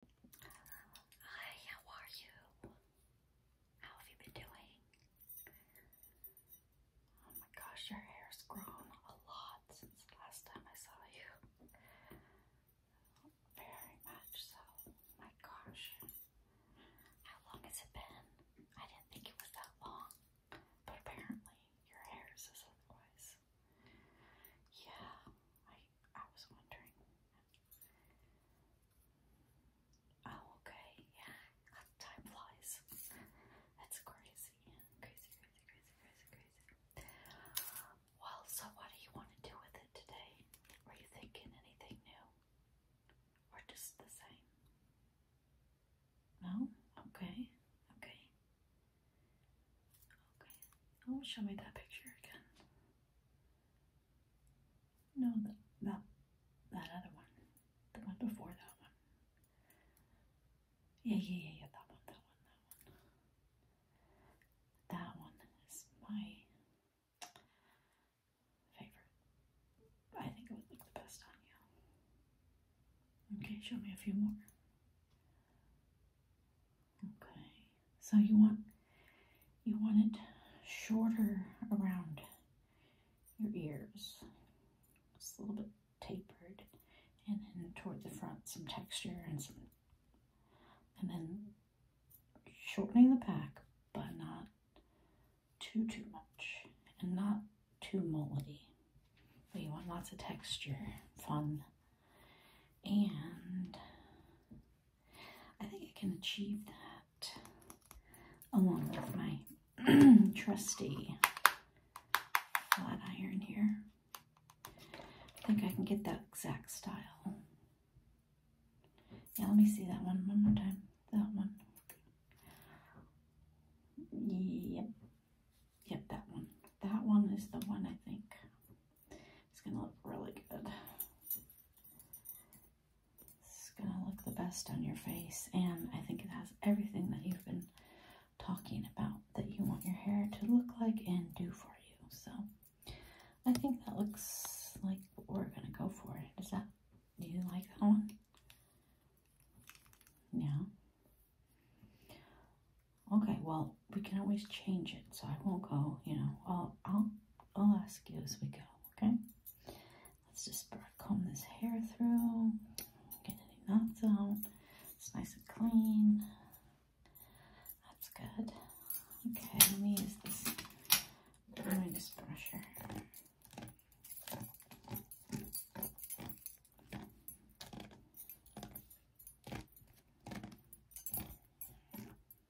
Hi, how are you? How have you been doing? Oh my gosh, your hair's grown a lot since the last time I saw you. Very much so. My gosh. How long has it been? I didn't think it was that long, but apparently your hair is otherwise. Yeah, I I was wondering Oh, okay, yeah, time flies. That's crazy, crazy, crazy, crazy, crazy, crazy. Well, so what do you want to do with it today? Are you thinking anything new? Or just the same? No? Okay, okay. Okay. Oh, show me that picture again. No, that, that, other one. The one before that one. Yeah, yeah, yeah, yeah, that one, that one, that one. That one is my favorite. I think it would look the best on you. Okay, show me a few more. Okay, so you want you want it shorter around your ears. just a little bit tapered, and then toward the front some texture and some, and then shortening the pack, but not too too much, and not too moldy. But you want lots of texture, fun, and I think I can achieve that along with my trusty flat iron here. I think I can get that exact style. Yeah, let me see that one one more time. That one. Yep. Yep, that one. That one is the one I think. It's gonna look really good. It's gonna look the best on your face and I think it has everything that you've been talking about that you want your hair to look like and do for you. So I think that looks like what we're gonna go for. Is that, do you like that one? Yeah. Okay, well, we can always change it, so I won't go, you know, all, I'll, I'll ask you as we go, okay? Let's just comb this hair through, get any knots out, it's nice and clean, that's good. Okay, let me use this, let me just brush her.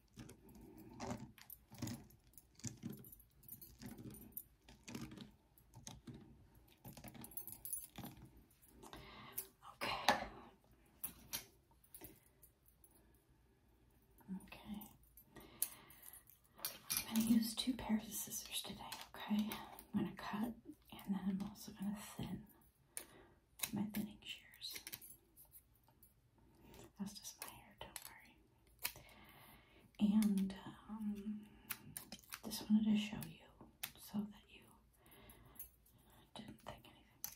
Okay. Okay. I'm going to use two pairs of scissors today, okay? I'm going to cut and then I'm also going to thin my thinning shears. That's just my hair, don't worry. And um, just wanted to show you so that you didn't think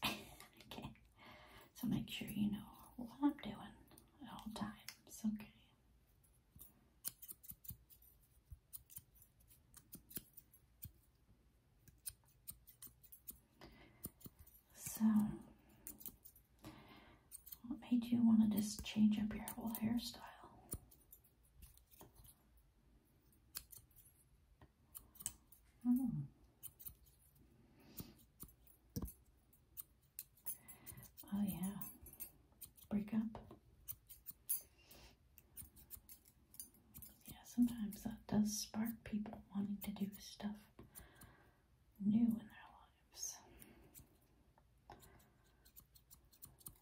anything. okay. So make sure you know what I'm doing at all times, okay? So, what made you want to just change up your whole hairstyle? Hmm. Oh. yeah. Break up. Yeah, sometimes that does spark people wanting to do stuff new in their life.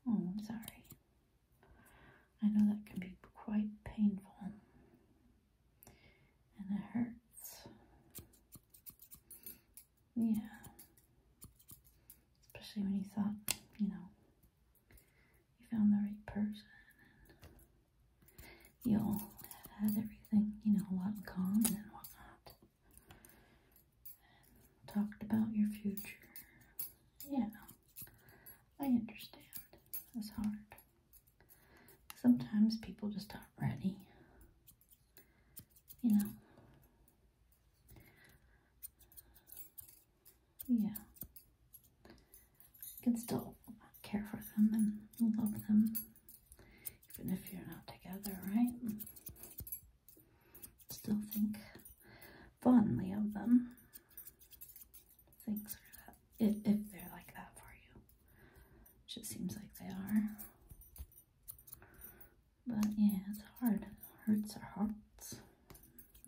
Oh, I'm sorry. I know that can be quite painful and it hurts. Yeah. Especially when you thought, you know, you found the right person you'll have everything, you know, a lot in common and whatnot. talked about your future. Yeah, I understand. It's hard. Sometimes people just aren't ready. You know. Yeah. You can still care for them and love them even if you're not together, right? Still think fondly of them. Things are that if, if they're like that for you, which it seems like they are. But yeah, it's hard. It hurts our hearts.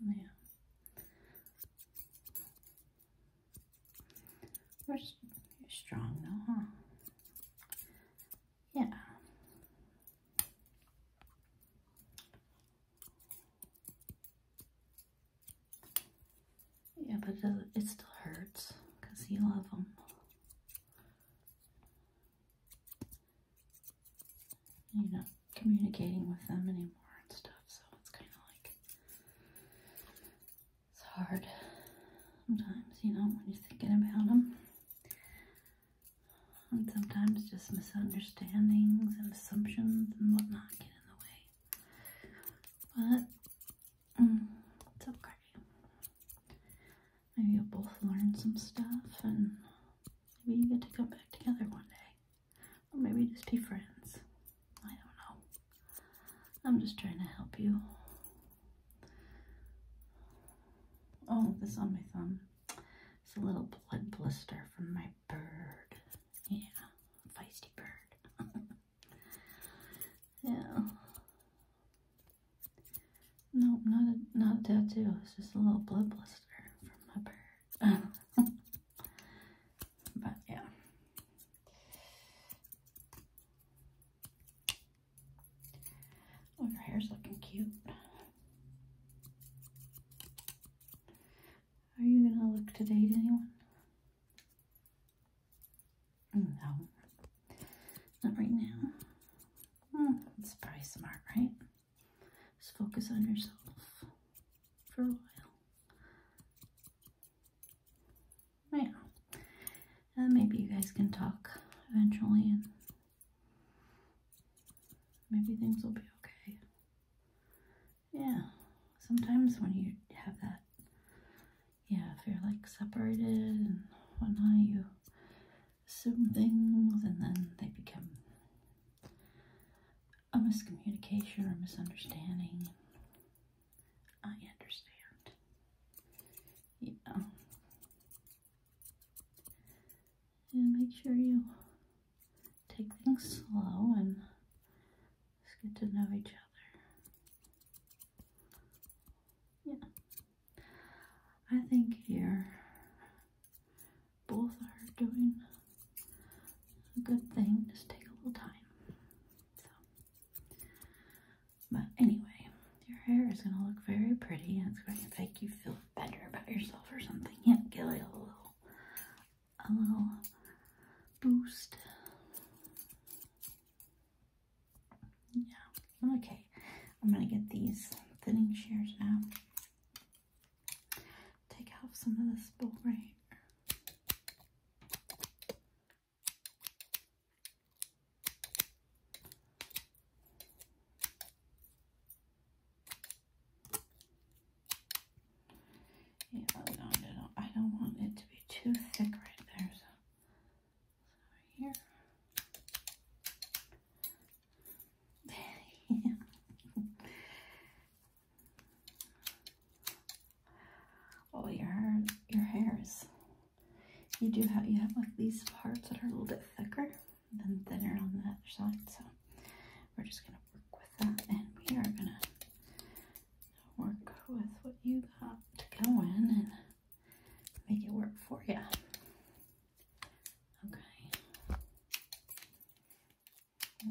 Yeah. you're strong though, huh? Yeah. Yeah, but it, it still hurts because you love them. You're not communicating with them anymore and stuff, so it's kind of like it's hard sometimes, you know, when you're thinking about them. And sometimes just misunderstandings and assumptions and whatnot get in the way. But mm, it's okay. Maybe you'll both learn some stuff and maybe you get to come back together one day. Or maybe just be friends. I don't know. I'm just trying to help you. Oh, this on my thumb. It's a little blood blister from my bird. Yeah, feisty bird. yeah. Nope, not a not tattoo. It's just a little blood blister from my bird. but yeah. Oh, your hair's looking cute. Are you gonna look today, anyone? No, not right now. Hmm, it's probably smart, right? Just focus on yourself for a while right And uh, maybe you guys can talk eventually and maybe things will be okay. Yeah, sometimes when you have that, yeah, if you're like separated and whatnot, you assume things and then they become a miscommunication or misunderstanding. I understand. Yeah. And make sure you take things slow and get to know each other. Yeah. I think you're both are doing a good thing. Just take a little time. But anyway, your hair is going to look very pretty and it's going to make you feel better about yourself or something. Yeah, give it a little, a little boost. Yeah, okay. I'm going to get these thinning shears now. Take off some of this bowl right Oh, I don't, want it to be too thick right there, so, here. Oh, your, your hair you do have you have like these parts that are a little bit thicker and thinner on the other side. So we're just gonna work with that, and we are gonna work with what you got going and make it work for you. Okay.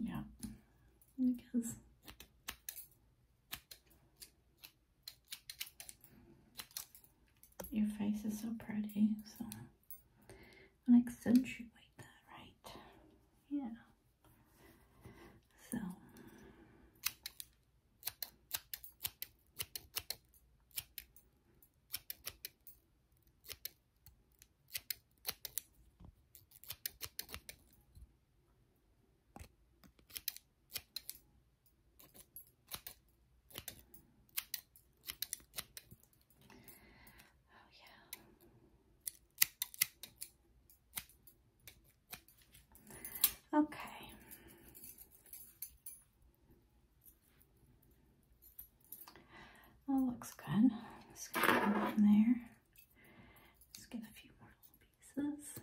Yeah. Because your face is so pretty, so I'll accentuate that, right? Yeah. So Oh, yeah. Okay. That looks good. Just gonna in there. Just get a few more little pieces.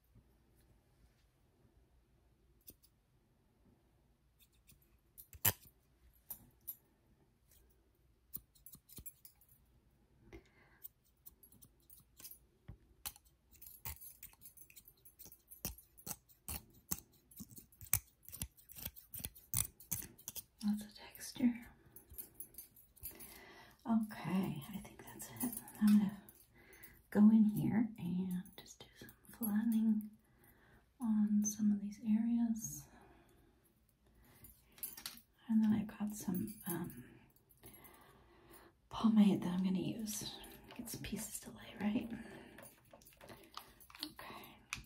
Lots of texture. Okay, I think that's it. I'm gonna go in here and just do some flattening on some of these areas. And then I've got some um, pomade that I'm going to use. Get some pieces to lay, right? Okay.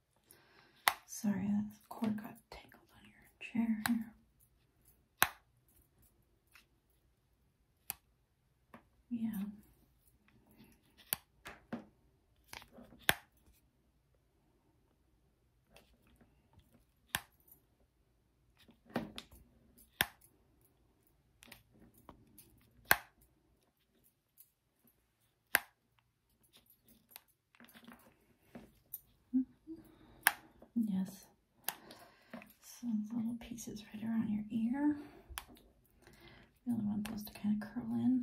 Sorry, that cord got tangled on your chair here. Yeah. Mm-hmm. Yes. Some little pieces right around your ear. We only want those to kind of curl in.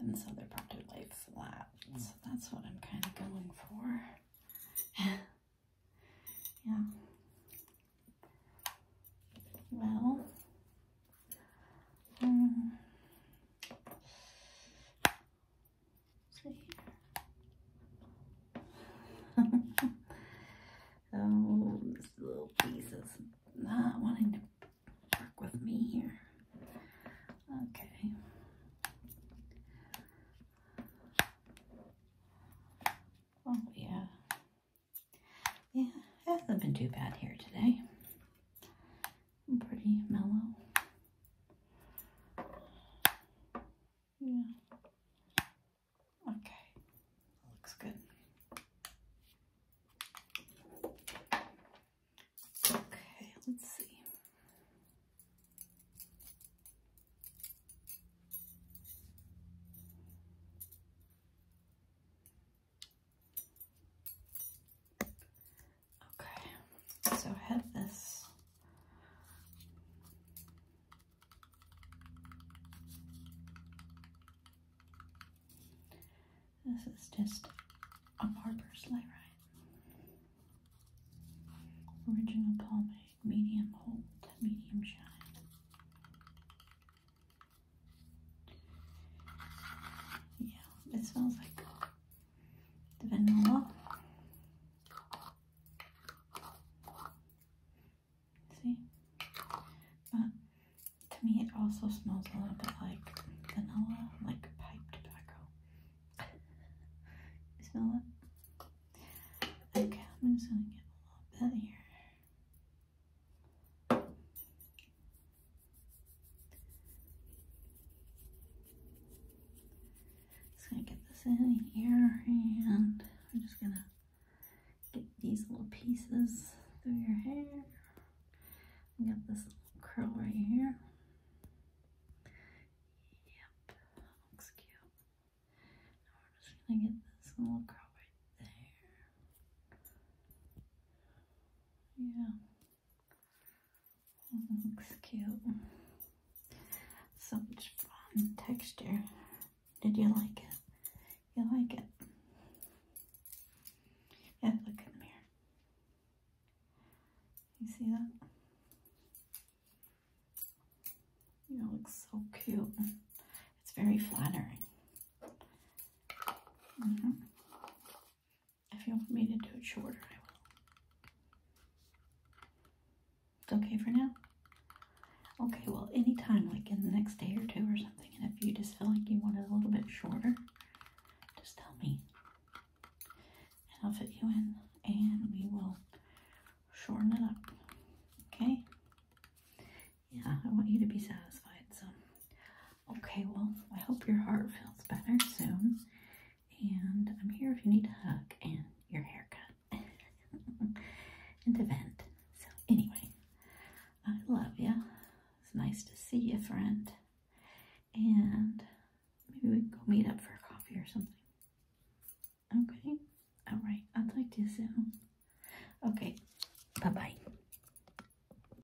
And so they're to lay flat. So that's what I'm kind of going for. yeah. Well, oh, this little piece is not wanting to work with me here. Okay. Oh, yeah. Yeah, hasn't been too bad here today pretty mellow. Yeah. Okay, looks good. Okay, let's see. Okay, so I have this. This is just a barber's lay right. Original pomade, medium hold, medium shine. Yeah, it smells like vanilla. See? But to me it also smells a little bit like vanilla, like pipe tobacco. you smell it? Okay, I'm gonna get a little bit here. Just gonna get this in here and I'm just gonna get these little pieces through your hair. I got this little curl right here. Yep, looks cute. Now we're just gonna get this little curl right there. Yeah. Looks cute. Such fun texture. Did you like it? You like it? Yeah, look in the mirror. You see that? You look so cute. It's very flattering. Mm-hmm. If you want me to do it shorter, I will. It's okay for now? Okay, well, anytime, like in the next day or two or something, and if you just feel like you want it a little bit shorter, just tell me. And I'll fit you in, and we will shorten it up. Okay? Yeah, I want you to be satisfied, so. Okay, well, I hope your heart feels better soon. And I'm here if you need a hug and your haircut and to vent. So, anyway, I love you. It's nice to see you, friend. And maybe we can go meet up for a coffee or something. Okay, all right. I'll talk to you soon. Okay, bye bye.